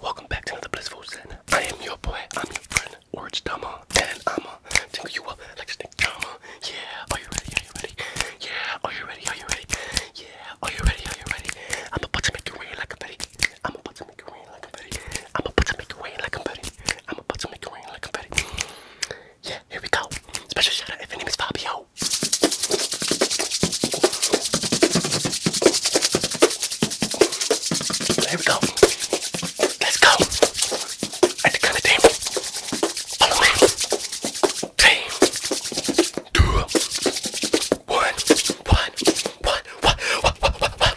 Welcome back to another blissful sin. I am your boy, I'm your friend, Orange Dama, and I'ma you up like a snake drama. Yeah, are you ready? Are you ready? Yeah, are you ready? Are you ready? Yeah, are you ready? Are you ready? I'm about to make it rain like a betty. I'm about to make it rain like a betty. I'm about to make it rain like a betty. I'm about to make it rain like a betty. Yeah, here we go. Special shout out if your name is Fabio. There we go. Let's go. At the kind of table. Follow me. Team two, one, one, one, one, one, one, one, one.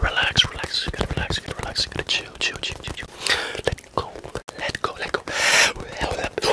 Relax, relax, you gotta relax, you gotta relax, you gotta chill, chill, chill, chill, chill. Let go, let go, let go. Let go, let go.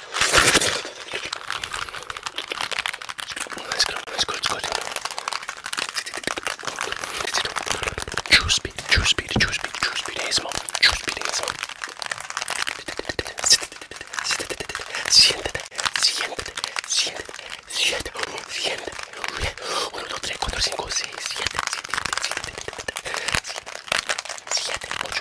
Siéntate, siéntate, siéntate, Choose speed, cuatro, cinco, seis, speed, choose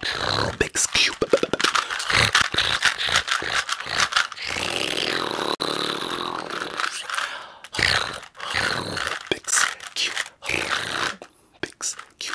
Rubik's Cube. Rubik's Cube. Rubik's Cube.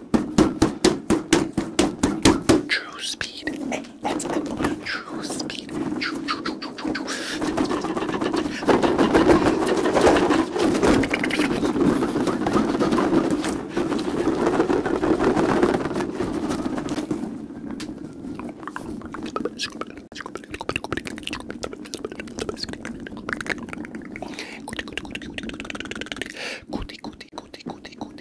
True speed. Hey, that's it. True speed. True, true, true, true, true, true. Goody, goody, goody, goody, goody,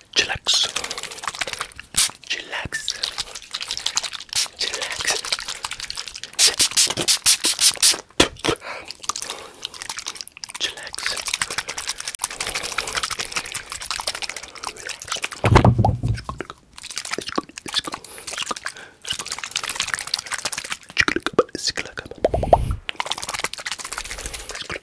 Chillax. Chillax. Chillax. Chillax. Relax. It's good, it's good, it's good, it's good. It's good, it's good, it's good. It's good.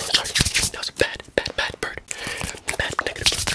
Sorry, that was a bad, bad, bad bird. Bad, negative bird.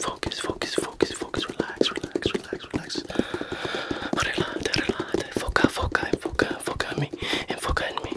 Focus, focus, focus, focus, relax, relax, relax, relax. Relate, relate, foca, foca, enfoca, foca en mí, enfoca en mí.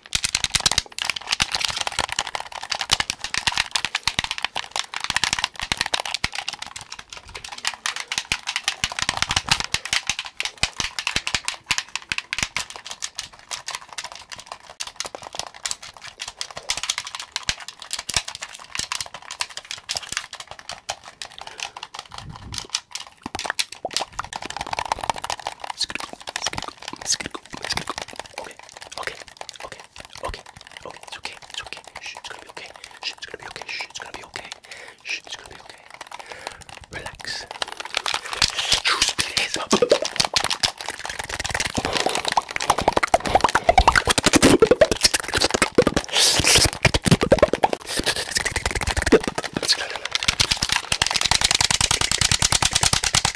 Skittle, skittle, skittle, go. It's gonna go. Okay. Okay. Okay. Okay. Okay. It's okay. It's okay. Shh, it's gonna be okay. Shh, it's gonna be okay. Shh, it's gonna be okay. Shh, it's gonna be okay. Relax. Truth is. Let's go.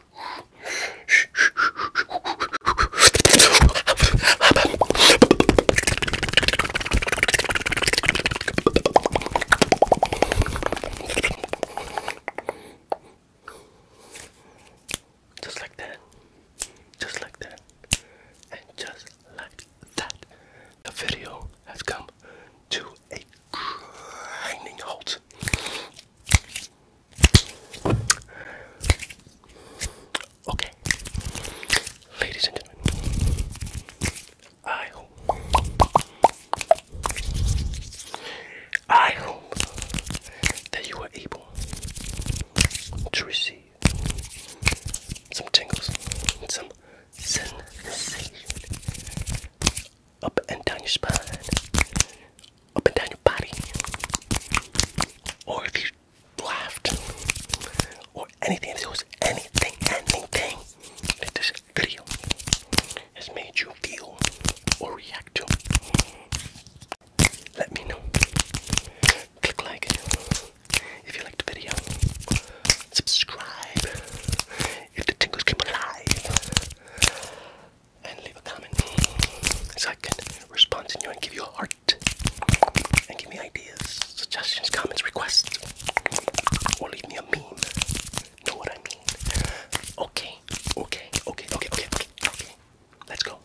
Just like that. Just like that. And just like that. The video has come to a grinding halt. Okay, ladies and gentlemen, I hope, I hope that you were able to receive some tingles, some sensation up and down your spine, up and down your body, or if you laughed, or anything, if was anything, anything that this video has made you feel or react to, let me know. Click like if you liked the video. Subscribe if the tingles came alive and leave a comment so I can respond to you and give you a heart and give me ideas, suggestions, comments, requests, or leave me a meme. Know what I mean? Okay, okay, okay, okay, okay, okay. Let's go.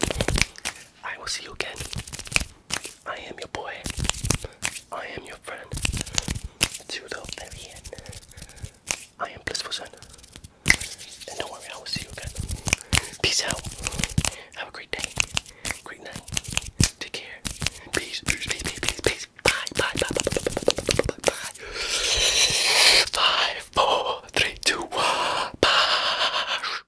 I will see you again. I am your boy. I am your friend. To the very end. I am Blissful son. And don't worry, I will see you again. Peace out. Have a great day. Great night. Take care. Peace. Peace. Peace. Peace. Peace. Bye. Bye. Bye. Bye. Bye. Bye. Five, four, three, two, one. Bye.